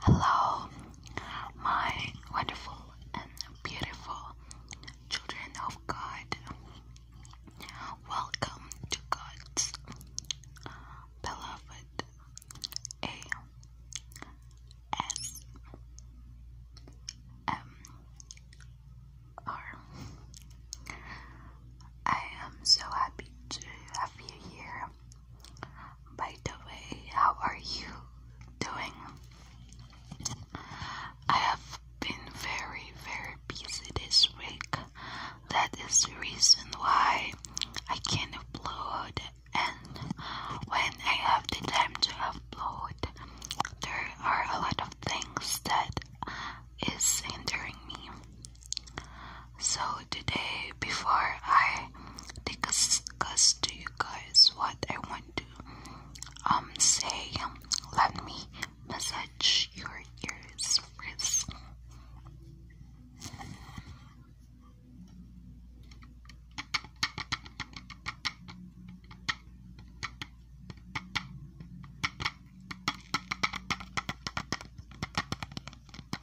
Hello, my wonderful and beautiful children of God. Welcome to God's beloved A S M R. I am so happy to have you here by the way, how are you doing? I have been very, very busy this week. That is the reason why I can't upload, and when I have the time to upload, there are a lot of things that is hindering me. So today, before I discuss to you guys what I want to um say, let me massage your ears first.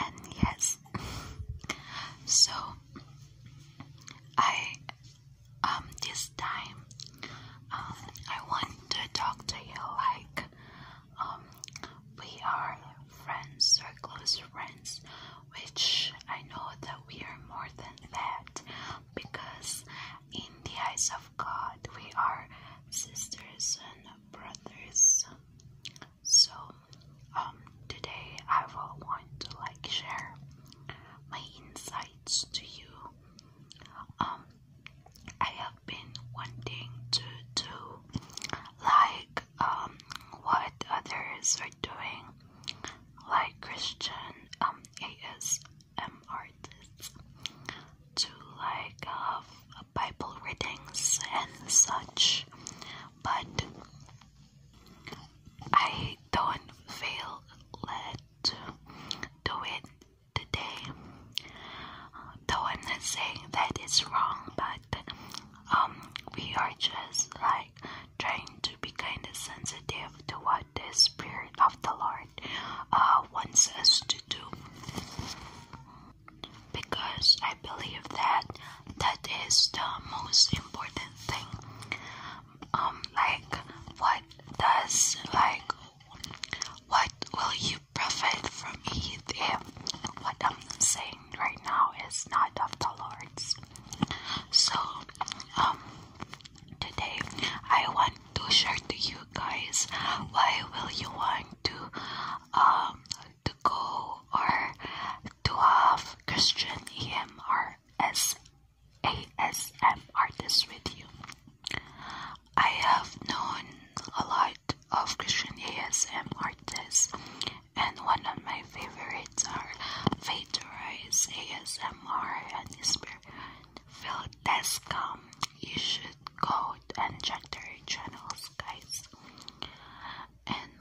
And yes, so I um this time um, I want to talk to you like um, we are friends or close friends which I know that we are more than that because in the eyes of God we are sisters and brothers so um, um, today I will want to like share my insights to you. Um, I have been wanting to do like what others are doing, like Christian um artists, to like have Bible readings and such, but I don't feel led to do it today. Though I'm not saying that it's wrong, but um, we are just like trying to be kind of sensitive to what the Spirit of the Lord uh, wants us to do. Because I believe that that is the most important thing um like what does like what will you profit from it if what i'm saying right now is not of the lord's so um today i want to share to you guys why will you want to um to go or to have Christian EM artists with you. I have known a lot of Christian ASM artists, and one of my favorites are Faith Rise ASMR and Spirit Phil You should go and check their channels, guys. And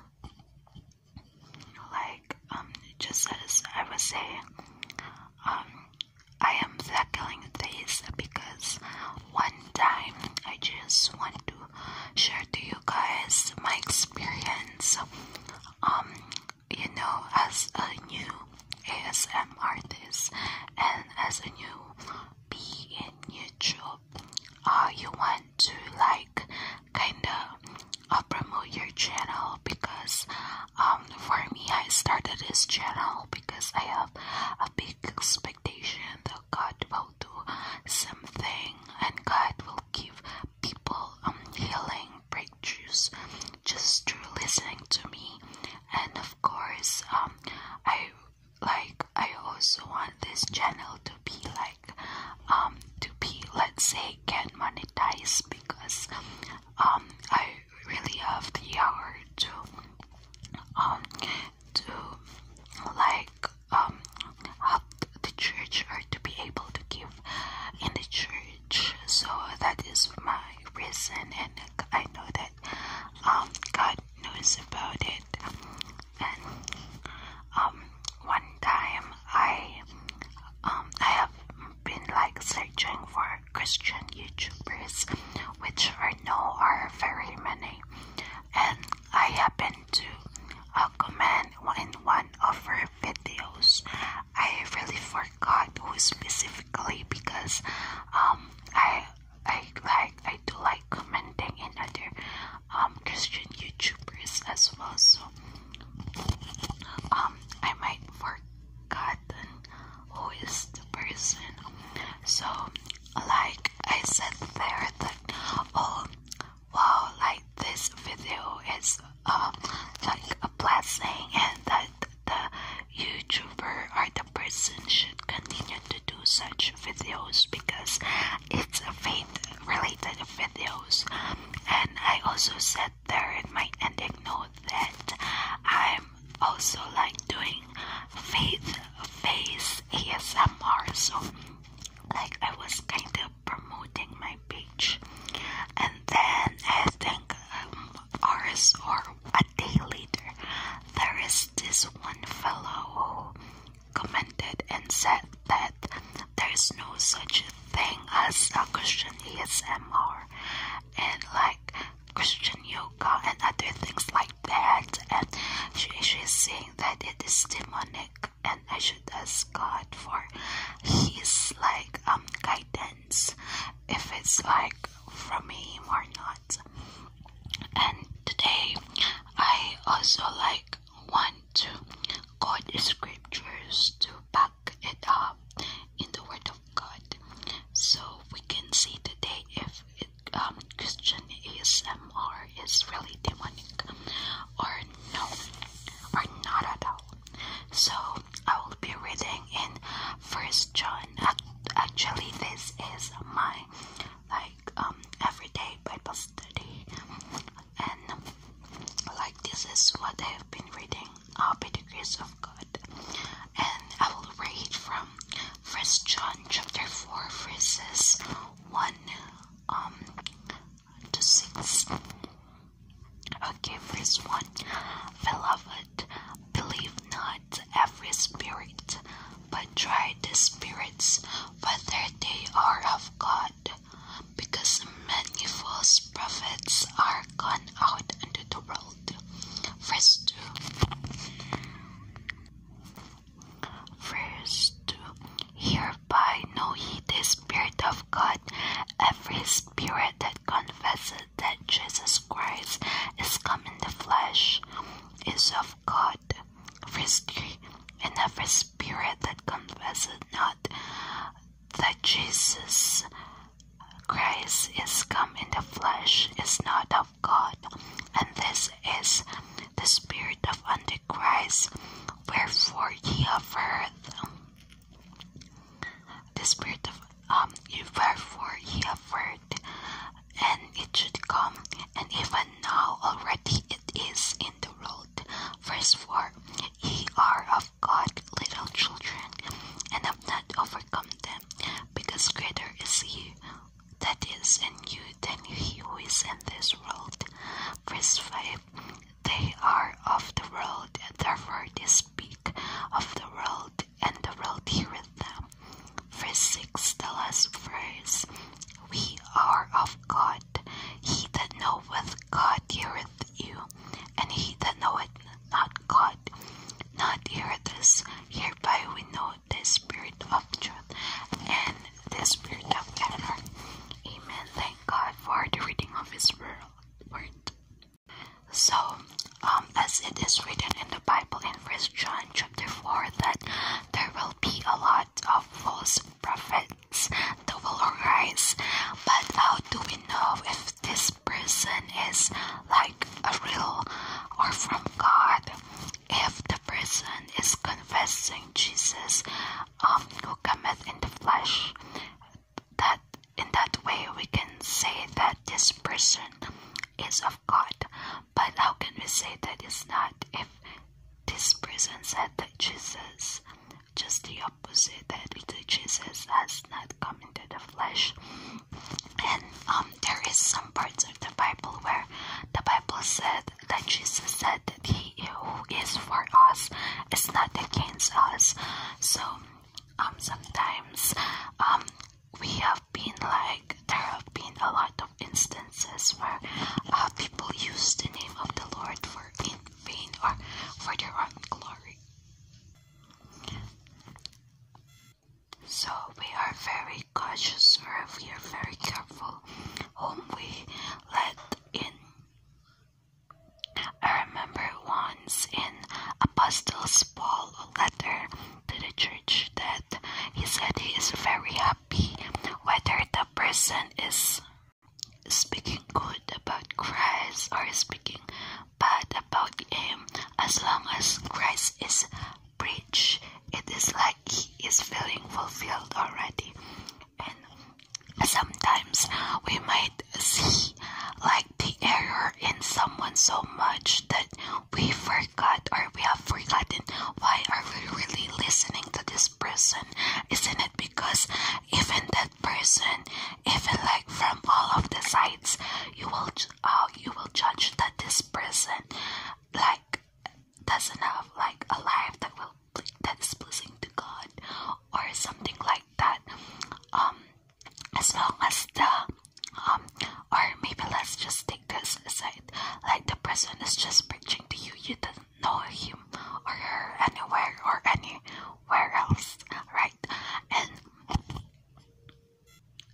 like um just as I was saying um I am tackling this because one time I just want to share to you guys my experience um you know as a new ASM artist and as a new being in YouTube uh you want to like kind of uh, promote your channel because um, for me I started this channel because I have a big expectation that God will do something and God will give people um, healing breakthroughs just through listening to me and of course um, I like I also want this channel to be like um, to be let's say get monetized because um, I really have the hour to um, to like help the church or to be able to give in the church so that is my reason and I know that God knows about it and one time I um I have been like searching for Christian YouTubers, which I know are very many, and I happened to uh, comment on one of her videos. I really forgot who specifically because um I I like I do like commenting in other um Christian YouTubers as well. So um I might forgotten who is the person. So like I said there that oh wow like this video is uh, like a blessing and that the YouTuber or the person should continue to do such videos because it's a faith related videos um, and I also said there in my ending note that I'm also like doing faith face ASMR so like I was kind of promoting my page and then I think um, hours or a day later there is this one fellow who commented and said that there is no such thing as a Christian ASMR and like Christian yoga and other things like that. And she, she's saying that it is demonic and I should ask God for his like um guidance if it's like for me or not. And today I also like want to quote scriptures to back it up in the Word of God. So we can see today if it, um, Christian ASMR is really demonic or no, or not at all. So I will be reading in First John. Actually, this is my like um everyday Bible study and like this is what I have been reading I'll uh, be the grace of God and I will read from first John chapter 4 verses 1 um to 6 okay verse 1 beloved believe not every spirit but try the spirits whether they are of God God, because many false prophets are gone out into the world. Verse 2. Verse 2. Hereby know ye the Spirit of God, every spirit that confesseth that Jesus Christ is come in the flesh is of God. Verse 3 and every spirit that confesseth not that Jesus Christ is come in the flesh is not of God, and this is the spirit of Antichrist, wherefore ye have heard the spirit of um wherefore ye have heard, and it should come, and even now already it is the road. Verse 4 Ye are of God, little children, and have not overcome them, because greater is He that is in you than He who is in this world. Verse 5 They are of the world, therefore they speak of the world, and the world heareth them. Verse 6, the last verse We are of God. He that knoweth God heareth you, and he that knoweth not God, not heareth us. Hereby we know the spirit of truth and the spirit of error. Amen. Thank God for the reading of His word. So, um, as it is written in the Bible in First John chapter four, that there will be a lot of false prophets that will arise. But how do we know if this person is like a real or from God? If the person is confessing Jesus of um, who cometh in the flesh, that in that way we can say that this person is of God. But how can we say that it's not if this person said that Jesus just the opposite that Jesus has not come into the flesh. And um, there is some parts of the Bible where the Bible said that Jesus said that he who is for us is not against us. So um, sometimes um, we have been like there have been a lot of instances where uh, people use the name of the Lord for in for their own glory. So we are very cautious or we are very careful whom we let in. I remember once in Apostles Paul letter to the church that he said he is very happy whether the person is Speaking good about Christ or speaking bad about Him, as long as Christ is preached, it is like He is feeling fulfilled already. And sometimes we might see like the error in someone so much that we forgot or we have forgotten why are we really listening to this person isn't it because even that person even like from all of the sides you will uh, you will judge that this person like doesn't have like a life that will that is pleasing to god or something like that um as long as the um or maybe let's just take this side, like the person is just preaching to you you doesn't know him or her anywhere or anywhere else, right? And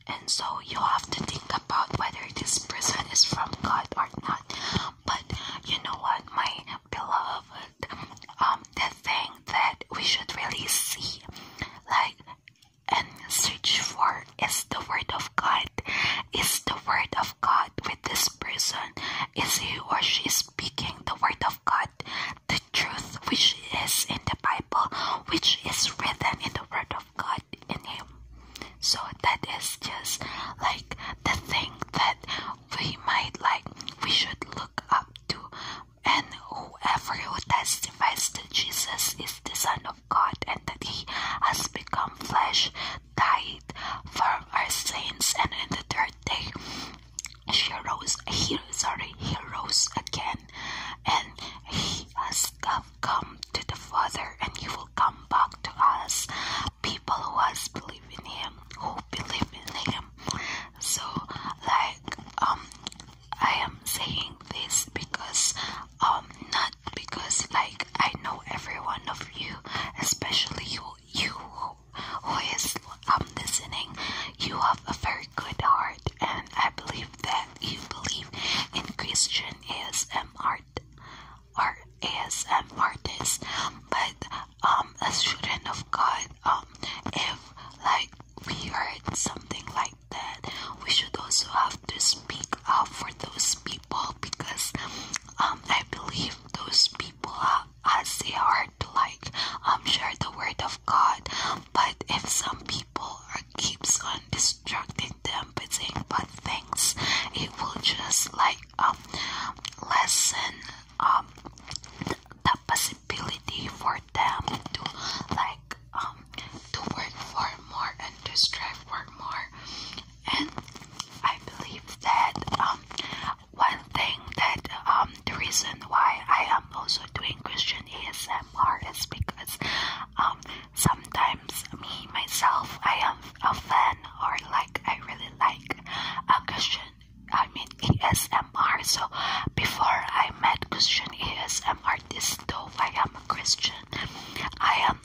and so you have to think about whether this person is from God or not. But you know what, my beloved, um, the thing that we should really see, like, and search for is the Word of God. Is the Word of God with this? person is he or she speaking the word of God, the truth which is in the Bible, which is written in the word of God in him. So that is just like the thing that we might like, we should look up to. And whoever who testifies that Jesus is the Son of God and that he has become flesh died for our sins, and in the third day she rose. He sorry, he rose again, and he has come to the Father, and he will come back to us, people who has believed in him, who believe in him. So, like, um, I am saying this because, um, not because like I know every one of you, especially you you who, who is um, listening, you have a very good heart, and I believe that you believe in Christian ASM art or ASM artists. But um, as children of God, um, if like we heard something like that, we should also have to speak out for those people because um, I believe those people are uh, as they are to like um share the word of God. But if some people keeps on distracting them by things, it will just like um lessen um the, the possibility for them to like um to work for more and to strive for more and I believe that um, one thing that um, the reason why I am also doing Christian ASMR is because um, sometimes me myself I am a fan or like I really like a uh, Christian I mean ASMR. So before I met Christian ASMR, this though I am a Christian, I am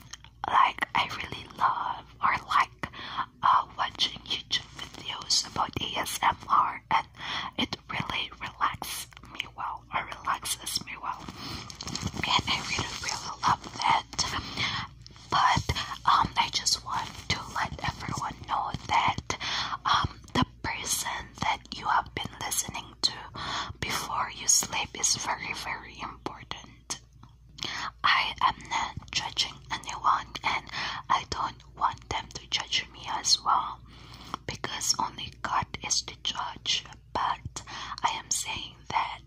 like I really love or like uh, watching YouTube videos about ASMR and it really relaxes me well or relaxes me well and I really really love that but um I just want to let everyone know that um the person that you have been listening to before you sleep is very very important I am not judging anyone and I don't want them to judge me as well because only God is the judge. But I am saying that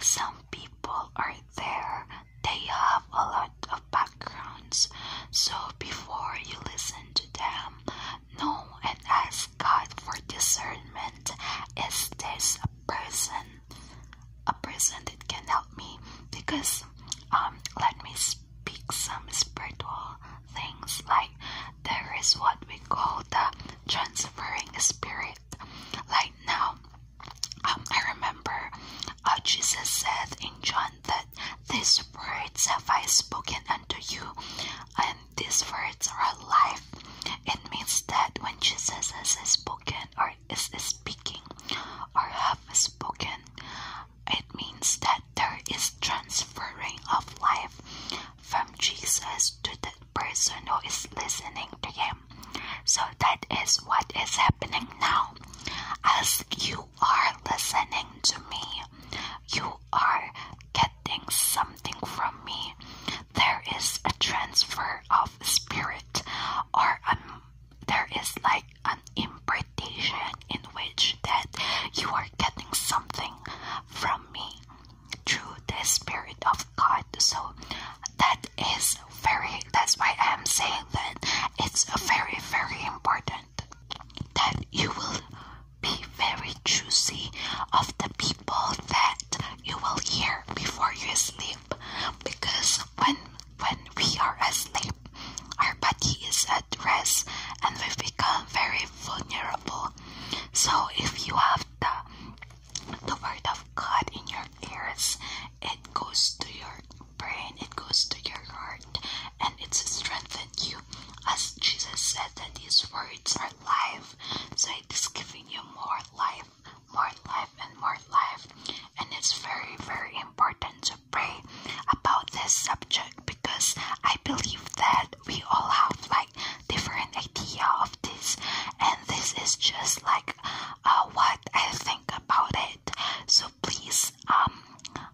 some people are there, they have a lot of backgrounds. So before you listen to them, know and ask God for discernment. Is this person a person that can help me because um, let me speak some spiritual things like there is what we call the transferring spirit like now um, I remember uh, Jesus said in John that these words have I spoken unto you and these words are life. it means that when Jesus has spoken or is speaking or have spoken. It means that there is transferring of life from Jesus to the person who is listening to him. So that is what is happening now. As you are listening to me, you are getting something from me. There is a transfer of spirit or um, there is like an impartation in which that you are getting something from me through the spirit of God. So that is very that's why I am saying that it's very very important that you will be very choosy of the people that you will hear before you sleep because when when we are asleep, our body is at rest and we become very vulnerable. So if you have the the word of God in your ears, it goes to your brain, it goes to your heart, and it strengthens you. As Jesus said that his words are life, so it is giving you more life more life, and more life. And it's very, very important to pray about this subject because I believe that we all have like different idea of this, and this is just like uh, what I think about it. So please, um,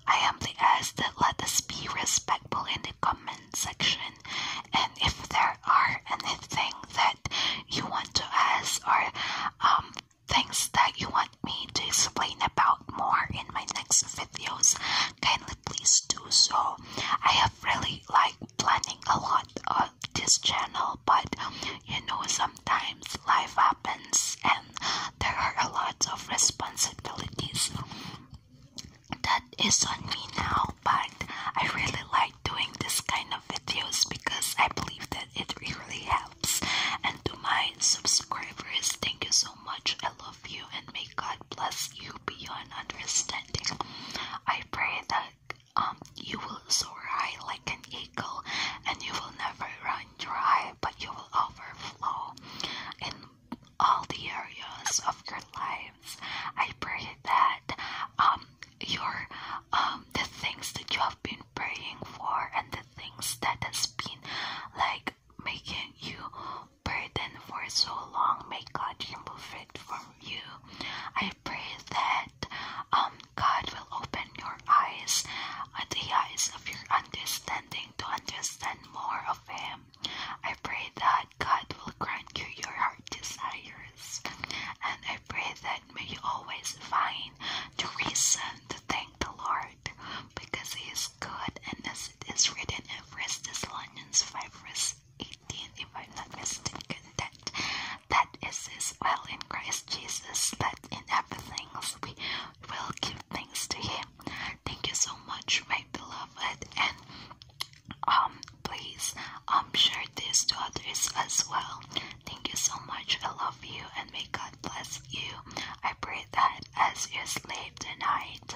I am the ask that let us be respectful in the comment section, and if there are anything that you want to ask or um, things that you want me to explain about more in my next videos, kindly please do so. I have really like planning a lot of this channel, but you know sometimes life happens and there are a lot of responsibilities that is on me now, but I really like doing this kind of videos because I believe that it really helps. And to my subscribers, thank you so much. I love you and may God bless you beyond understanding. I pray that um you will soar high like an eagle and you will never run dry, but you will overflow in all the areas of your lives. I pray that um your um the things that you have been praying for and the things that has been like making you burden for so long may god remove it from you i pray that um god will open your eyes and uh, the eyes of your understanding to understand more of him i pray that god will grant you your heart desires and i pray that may always find the reason to thank the Lord because He is good, and it is written in First Thessalonians 5, verse 18, if not mistaken, that that is His will in Christ Jesus, that in everything we will give thanks to Him. Thank you so much, my beloved, and um, please um share this to others as well Thank you so much. I love you and may God bless you. I pray that as you sleep tonight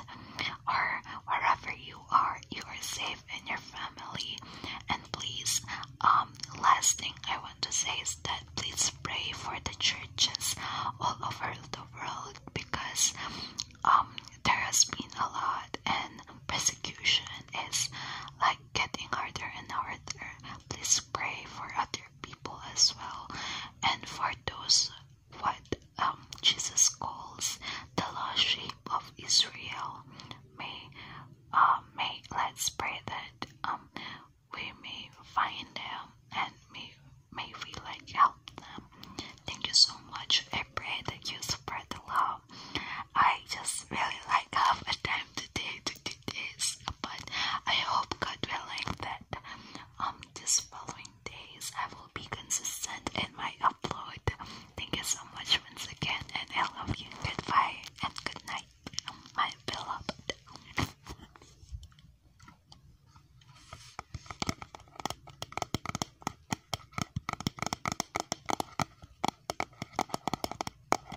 or wherever you are, you are safe and your family. And please, um, last thing I want to say is that please pray for the churches all over the world because um there has been a lot and persecution is like getting harder and harder. Please pray for other people as well and for those what um, Jesus calls the lost sheep of Israel. May, uh, may let's pray that um, we may find them and may, may we like help them. Thank you so much. I pray that you spread the love I just really like have a time today to do this, but I hope God willing that um this following days I will be consistent in my upload. Thank you so much once again, and I love you. Goodbye and good night, um, my beloved.